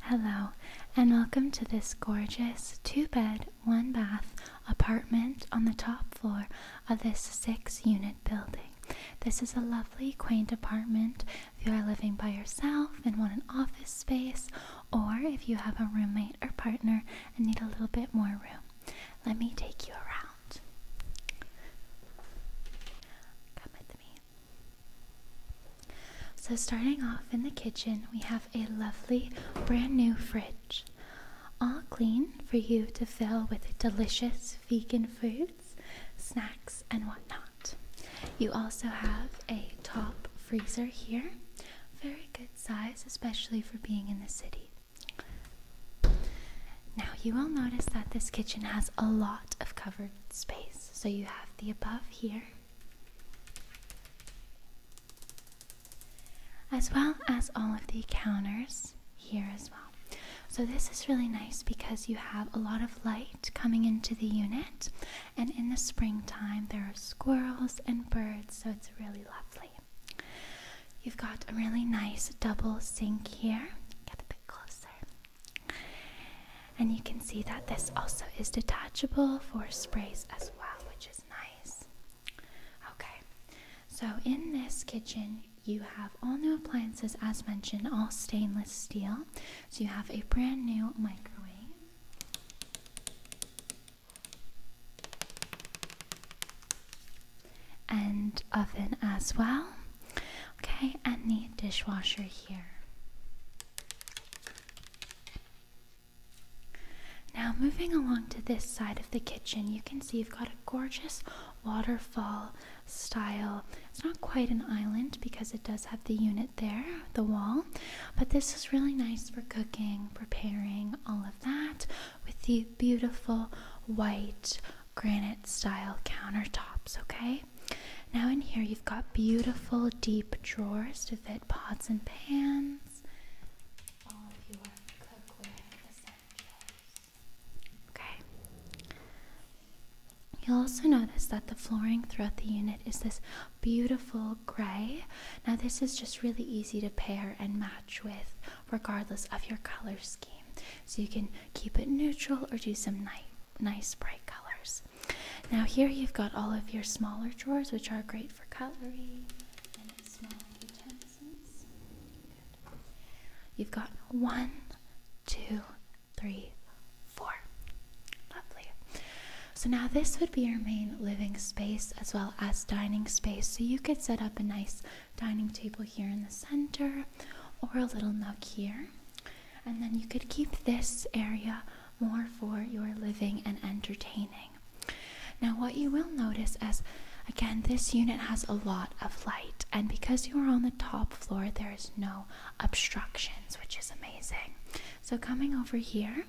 Hello, and welcome to this gorgeous two bed, one bath apartment on the top floor of this six unit building. This is a lovely, quaint apartment if you are living by yourself and want an office space, or if you have a roommate or partner and need a little bit more room. Let me take you around. Come with me. So, starting off in the kitchen, we have a lovely brand new fridge, all clean for you to fill with delicious vegan foods, snacks, and whatnot. You also have a top freezer here, very good size, especially for being in the city. Now, you will notice that this kitchen has a lot of covered space. So, you have the above here as well as all of the counters here as well. So this is really nice because you have a lot of light coming into the unit and in the springtime there are squirrels and birds so it's really lovely. You've got a really nice double sink here. Get a bit closer. And you can see that this also is detachable for sprays as well, which is nice. Okay, so in this kitchen, you have all new appliances as mentioned, all stainless steel. So you have a brand new microwave. And oven as well. Okay, and the dishwasher here. Now, moving along to this side of the kitchen, you can see you've got a gorgeous waterfall style. It's not quite an island because it does have the unit there, the wall, but this is really nice for cooking, preparing, all of that with the beautiful white granite style countertops, okay? Now in here you've got beautiful deep drawers to fit pots and pans. Okay. You'll also notice that the flooring throughout the unit is this beautiful gray. Now this is just really easy to pair and match with regardless of your color scheme. So you can keep it neutral or do some nice bright colors. Now here you've got all of your smaller drawers, which are great for cutlery and small utensils. You've got one, two, three, four. Lovely. So now this would be your main living space as well as dining space. So you could set up a nice dining table here in the center or a little nook here. And then you could keep this area more for your living and entertaining. Now, what you will notice as again, this unit has a lot of light, and because you are on the top floor, there is no obstructions, which is amazing. So, coming over here,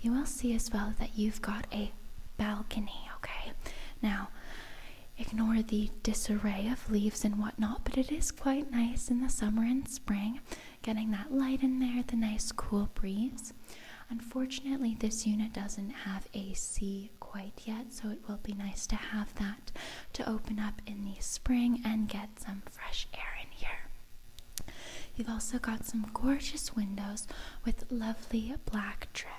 you will see as well that you've got a balcony, okay? Now, ignore the disarray of leaves and whatnot, but it is quite nice in the summer and spring, getting that light in there, the nice cool breeze. Unfortunately, this unit doesn't have AC quite yet, so it will be nice to have that to open up in the spring and get some fresh air in here. You've also got some gorgeous windows with lovely black trim.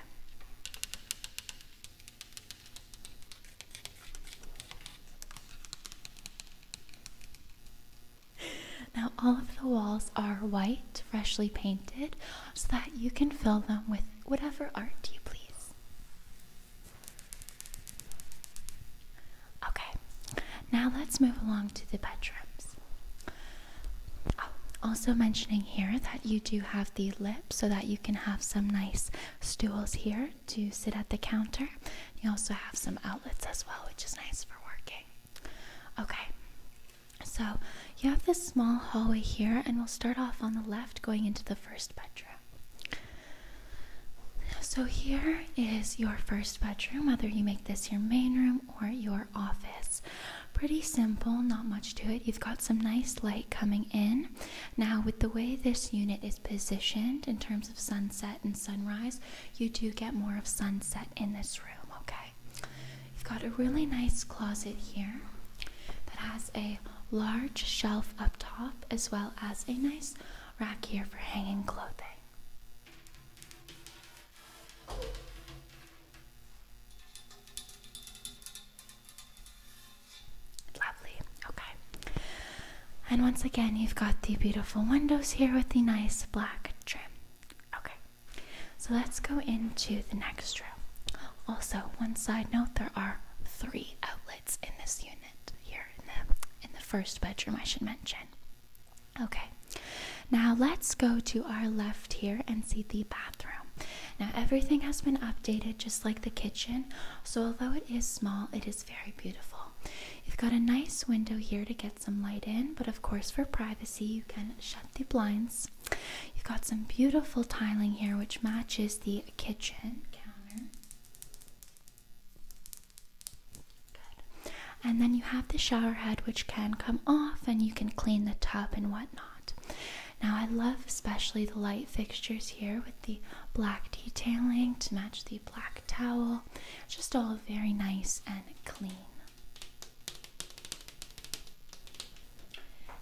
Now, all of the walls are white, freshly painted, so that you can fill them with whatever art you please. Okay, now let's move along to the bedrooms. Oh, also, mentioning here that you do have the lip so that you can have some nice stools here to sit at the counter. You also have some outlets as well, which is nice for working. Okay, so you have this small hallway here, and we'll start off on the left going into the first bedroom. So, here is your first bedroom, whether you make this your main room or your office. Pretty simple, not much to it. You've got some nice light coming in, now, with the way this unit is positioned in terms of sunset and sunrise, you do get more of sunset in this room, okay? You've got a really nice closet here that has a large shelf up top as well as a nice rack here for hanging clothing. Lovely, okay. And once again, you've got the beautiful windows here with the nice black trim. Okay, so let's go into the next room. Also, one side note there are three outlets in this unit here in the, in the first bedroom, I should mention. Okay, now let's go to our left here and see the bathroom. Now, everything has been updated just like the kitchen, so although it is small, it is very beautiful. You've got a nice window here to get some light in, but of course, for privacy, you can shut the blinds. You've got some beautiful tiling here, which matches the kitchen counter. And then you have the shower head, which can come off, and you can clean the tub and whatnot. Now I love especially the light fixtures here with the black detailing to match the black towel. Just all very nice and clean.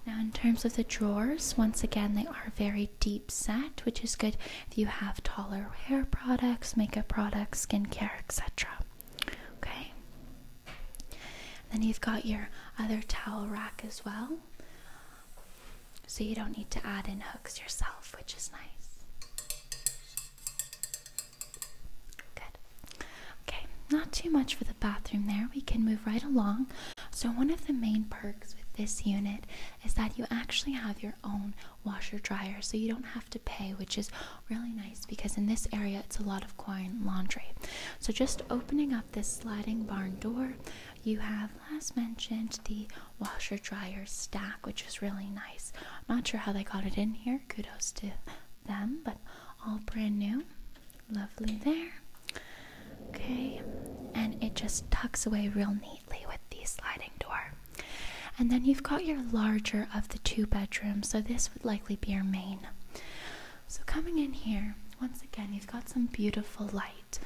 Now in terms of the drawers, once again they are very deep set, which is good if you have taller hair products, makeup products, skincare, etc. Okay. then you've got your other towel rack as well. So you don't need to add in hooks yourself, which is nice. Good. Okay, not too much for the bathroom there. We can move right along. So, one of the main perks with this unit is that you actually have your own washer dryer, so you don't have to pay, which is really nice because in this area it's a lot of coin laundry. So, just opening up this sliding barn door, you have last mentioned the washer dryer stack, which is really nice. I'm not sure how they got it in here. Kudos to them, but all brand new. Lovely there. Okay, and it just tucks away real neatly with the sliding door. And then you've got your larger of the two bedrooms, so this would likely be your main. So, coming in here, once again, you've got some beautiful light.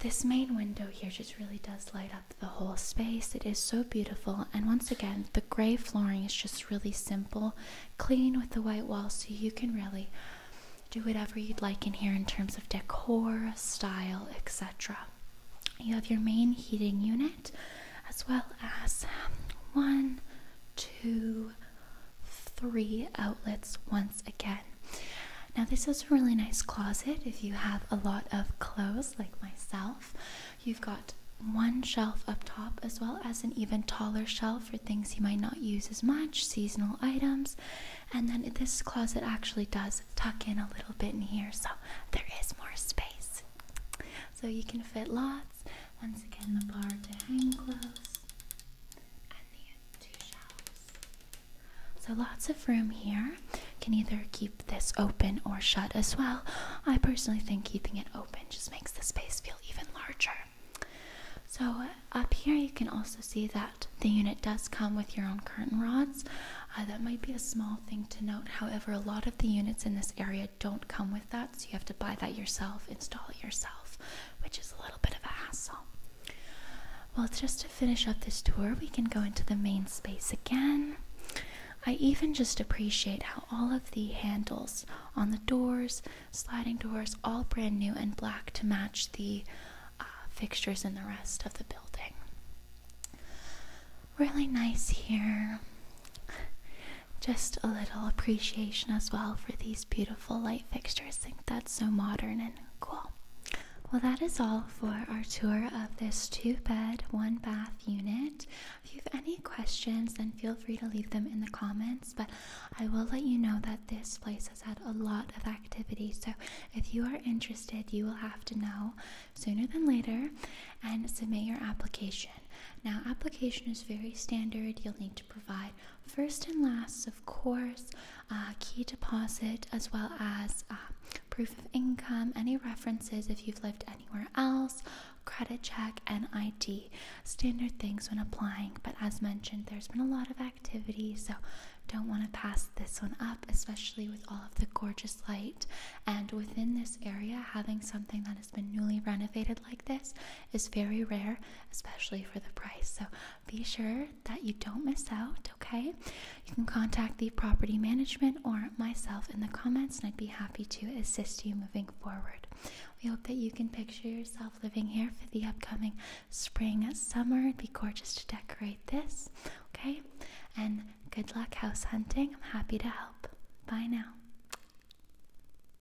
This main window here just really does light up the whole space. It is so beautiful. And once again, the gray flooring is just really simple, clean with the white walls, so you can really do whatever you'd like in here in terms of decor, style, etc. You have your main heating unit as well as one, two, three outlets once again. Now, this is a really nice closet if you have a lot of clothes like myself. You've got one shelf up top, as well as an even taller shelf for things you might not use as much, seasonal items. And then this closet actually does tuck in a little bit in here, so there is more space. So you can fit lots. Once again, the bar to hang clothes so lots of room here. Can either keep this open or shut as well. I personally think keeping it open just makes the space feel even larger. So up here you can also see that the unit does come with your own curtain rods. Uh, that might be a small thing to note. However, a lot of the units in this area don't come with that, so you have to buy that yourself, install it yourself which is a little bit of a hassle. Well, just to finish up this tour, we can go into the main space again. I even just appreciate how all of the handles on the doors, sliding doors, all brand new and black to match the uh, fixtures in the rest of the building. Really nice here. Just a little appreciation as well for these beautiful beautiful light fixtures. think that's so modern and cool. Well, that is all for our tour of this two bed, one bath unit. If you have any questions, then feel free to leave them in the comments. But I will let you know that this place has had a lot of activity. So if you are interested, you will have to know sooner than later and submit your application. Now, application is very standard. You'll need to provide first and last, of course, uh, key deposit as well as uh, proof of income, any references if you've lived anywhere else, credit check, and ID. Standard things when applying, but as mentioned, there's been a lot of activity, so don't want to pass this one up, especially with all of the gorgeous light. And within this area, having something that has been newly renovated like this is very rare, especially for the price. So be sure that you don't miss out, okay? You can contact the property management or myself in the comments, and I'd be happy to assist you moving forward. We hope that you can picture yourself living here for the upcoming spring summer. It'd be gorgeous to decorate this, okay? And good luck house hunting. I'm happy to help. Bye now.